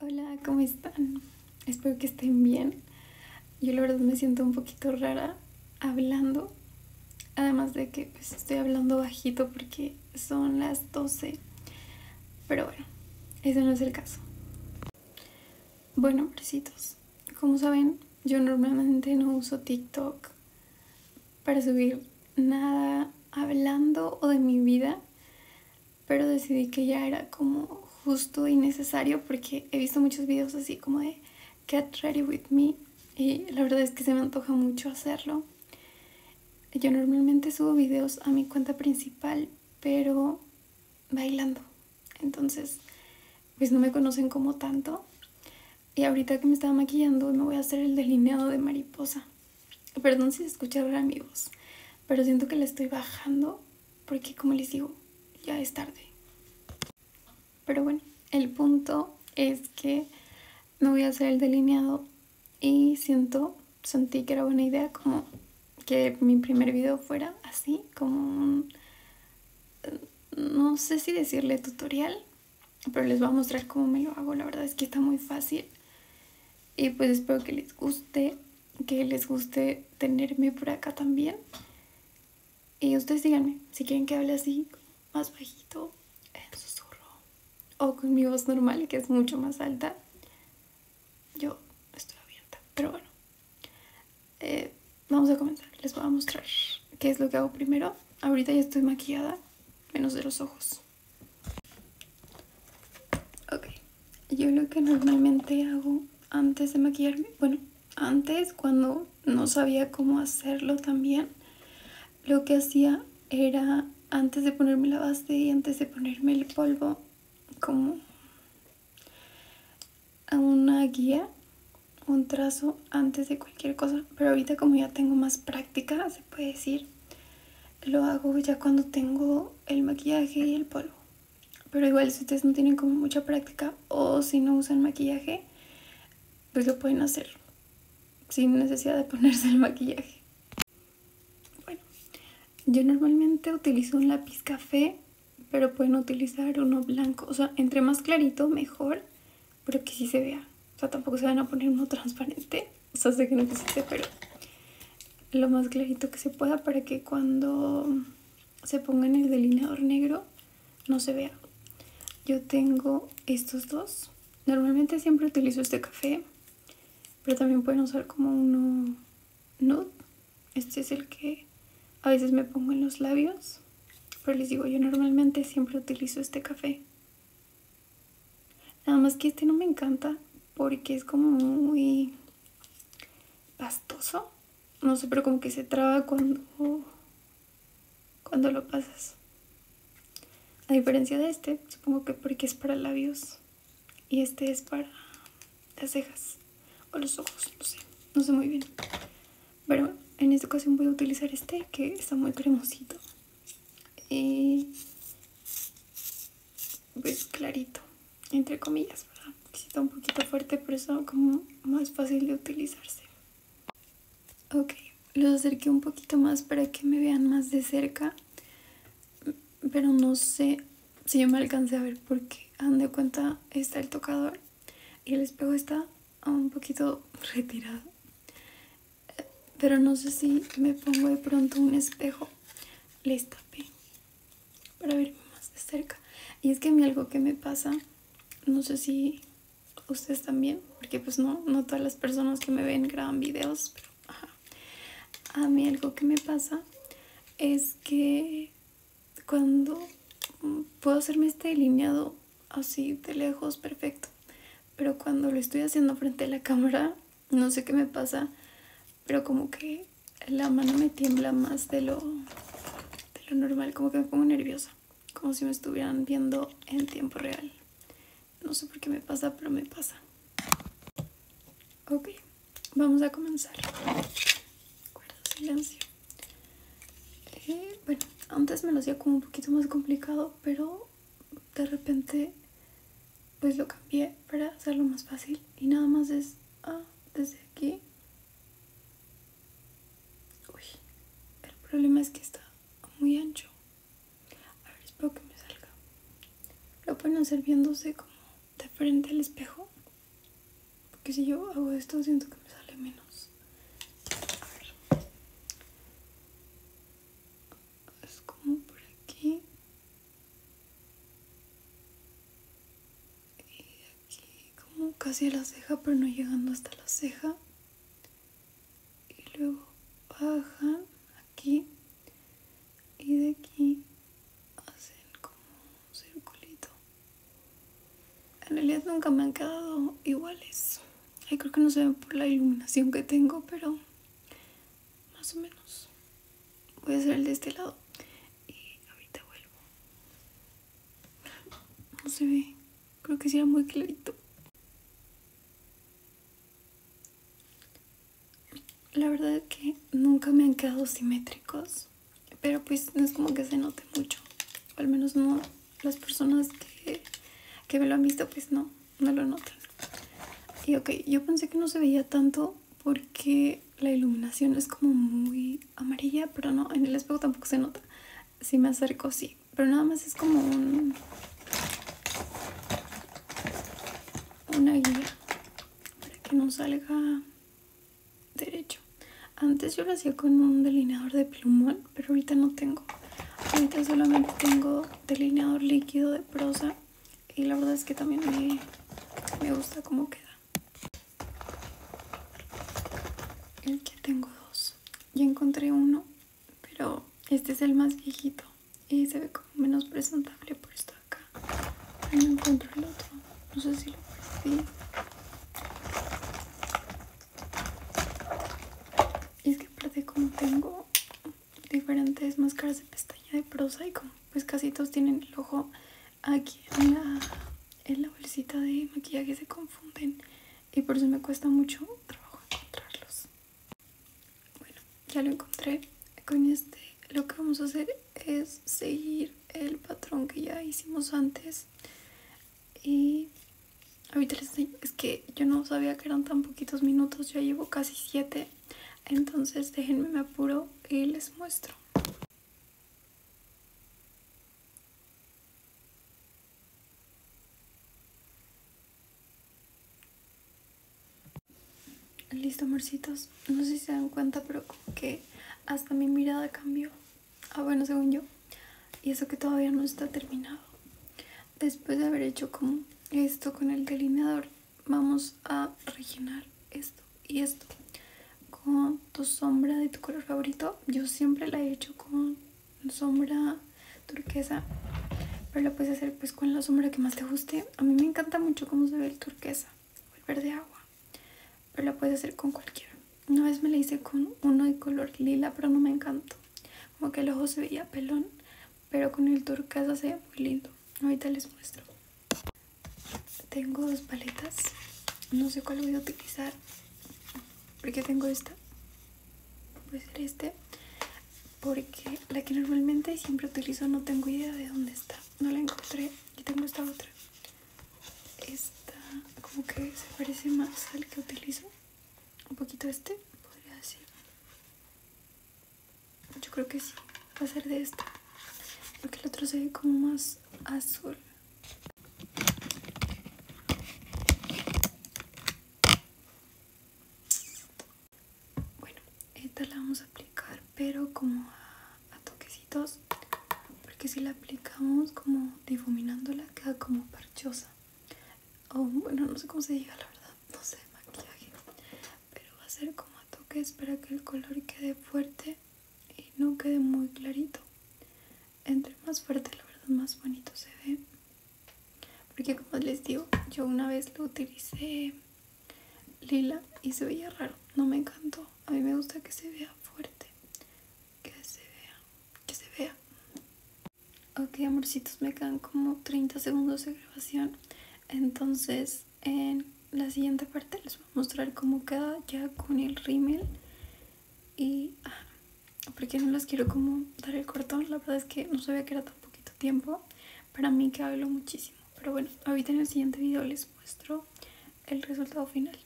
Hola, ¿cómo están? Espero que estén bien. Yo la verdad me siento un poquito rara hablando. Además de que pues, estoy hablando bajito porque son las 12. Pero bueno, ese no es el caso. Bueno, hombrecitos, como saben, yo normalmente no uso TikTok para subir nada hablando o de mi vida pero decidí que ya era como justo y necesario porque he visto muchos videos así como de Get Ready With Me y la verdad es que se me antoja mucho hacerlo. Yo normalmente subo videos a mi cuenta principal, pero bailando. Entonces, pues no me conocen como tanto. Y ahorita que me estaba maquillando me voy a hacer el delineado de mariposa. Perdón si se escucha ahora mi voz, pero siento que la estoy bajando porque como les digo, ya es tarde. Pero bueno, el punto es que no voy a hacer el delineado y siento, sentí que era buena idea como que mi primer video fuera así, como no sé si decirle tutorial, pero les voy a mostrar cómo me lo hago, la verdad es que está muy fácil. Y pues espero que les guste, que les guste tenerme por acá también. Y ustedes díganme si quieren que hable así, más bajito, en susurro, o con mi voz normal, que es mucho más alta. Yo estoy abierta, pero bueno. Eh, vamos a comenzar, les voy a mostrar qué es lo que hago primero. Ahorita ya estoy maquillada, menos de los ojos. Ok, yo lo que normalmente hago antes de maquillarme, bueno, antes cuando no sabía cómo hacerlo también, lo que hacía era antes de ponerme la base y antes de ponerme el polvo, como una guía, un trazo antes de cualquier cosa. Pero ahorita como ya tengo más práctica, se puede decir, lo hago ya cuando tengo el maquillaje y el polvo. Pero igual si ustedes no tienen como mucha práctica o si no usan maquillaje, pues lo pueden hacer sin necesidad de ponerse el maquillaje. Bueno, yo normalmente utilizo un lápiz café, pero pueden utilizar uno blanco. O sea, entre más clarito mejor, pero que sí se vea. O sea, tampoco se van a poner uno transparente o sé que no existe, pero lo más clarito que se pueda para que cuando se ponga en el delineador negro no se vea. Yo tengo estos dos. Normalmente siempre utilizo este café, pero también pueden usar como uno nude. Este es el que a veces me pongo en los labios, pero les digo, yo normalmente siempre utilizo este café. Nada más que este no me encanta porque es como muy pastoso. No sé, pero como que se traba cuando, cuando lo pasas. A diferencia de este, supongo que porque es para labios y este es para las cejas o los ojos, no sé, no sé muy bien. Pero en esta ocasión voy a utilizar este que está muy cremosito y ves pues, clarito, entre comillas, ¿verdad? está un poquito fuerte, pero es como más fácil de utilizarse. Ok, los acerqué un poquito más para que me vean más de cerca, pero no sé si yo me alcancé a ver porque, han de cuenta, está el tocador y el espejo está un poquito retirado pero no sé si me pongo de pronto un espejo. Les tapé para verme más de cerca. Y es que a mí algo que me pasa, no sé si ustedes también, porque pues no, no todas las personas que me ven graban videos, pero A mí algo que me pasa es que cuando puedo hacerme este delineado así de lejos perfecto, pero cuando lo estoy haciendo frente a la cámara, no sé qué me pasa, pero como que la mano me tiembla más de lo, lo normal, como que me pongo nerviosa, como si me estuvieran viendo en tiempo real. No sé por qué me pasa, pero me pasa. Ok, vamos a comenzar. silencio. Eh, bueno, antes me lo hacía como un poquito más complicado, pero de repente pues lo cambié para hacerlo más fácil y nada más es ah, desde aquí el problema es que está muy ancho a ver espero que me salga lo pueden hacer viéndose como de frente al espejo porque si yo hago esto siento que me sale menos a es como por aquí y aquí como casi a la ceja pero no llegando hasta la ceja y luego bajan aquí y de aquí hacen como un circulito en realidad nunca me han quedado iguales Ay, creo que no se ve por la iluminación que tengo, pero más o menos. Voy a hacer el de este lado y ahorita vuelvo. No se ve. Creo que sea muy clarito. La verdad es que nunca me han quedado simétricos, pero pues no es como que se note mucho, al menos no las personas que, me lo han visto pues no, no lo notan. Y ok, yo pensé que no se veía tanto porque la iluminación es como muy amarilla, pero no, en el espejo tampoco se nota. Si me acerco, sí. Pero nada más es como un... Una guía para que no salga derecho. Antes yo lo hacía con un delineador de plumón pero ahorita no tengo. Ahorita solamente tengo delineador líquido de prosa y la verdad es que también me, gusta cómo queda. que tengo dos. Ya encontré uno, pero este es el más viejito y se ve como menos presentable por esto de acá. Ahí no encuentro el otro. No sé si lo perdí. Y es que aparte como tengo diferentes máscaras de pestaña de prosa y como pues casi todos tienen el ojo aquí en la, en la bolsita de maquillaje se confunden y por eso me cuesta mucho trabajo encontrarlos. Bueno, ya lo encontré. Con este lo que vamos a hacer es seguir el patrón que ya hicimos antes y ahorita les es que yo no sabía que eran tan poquitos minutos, ya llevo casi 7. Entonces déjenme me apuro y les muestro. Listo, amorcitos. No sé si se dan cuenta, pero como que hasta mi mirada cambió. Ah, bueno, según yo. Y eso que todavía no está terminado. Después de haber hecho como esto con el delineador, vamos a rellenar esto y esto con tu sombra de tu color favorito. Yo siempre la he hecho con sombra turquesa, pero la puedes hacer pues con la sombra que más te guste. A mí me encanta mucho cómo se ve el turquesa el verde agua, pero la puedes hacer con cualquiera. Una vez me la hice con uno de color lila, pero no me encantó. Como que el ojo se veía pelón, pero con el turquesa se ve muy lindo. Ahorita les muestro. Tengo dos paletas. No sé cuál voy a utilizar. Porque tengo esta. Puede ser este. Porque la que normalmente siempre utilizo no tengo idea de dónde está. No la encontré. Y tengo esta otra. Esta como que se parece más al que utilizo un poquito este, podría decir. Yo creo que sí, va a ser de este Porque el otro se ve como más azul. Bueno, esta la vamos a aplicar, pero como a toquecitos porque si la aplicamos como difuminándola queda como parchosa o bueno no sé cómo se diga la verdad no sé maquillaje pero va a ser como a toques para que el color quede fuerte y no quede muy clarito entre más fuerte la verdad más bonito se ve porque como les digo yo una vez lo utilicé lila y se veía raro no me encantó a mí me gusta que se vea fuerte que se vea, que se vea. Ok, amorcitos, me quedan como 30 segundos de grabación. Entonces, en la siguiente parte les voy a mostrar cómo queda ya con el rímel. Y ah, porque no les quiero como dar el cortón, la verdad es que no sabía que era tan poquito tiempo. Para mí que hablo muchísimo. Pero bueno, ahorita en el siguiente video les muestro el resultado final.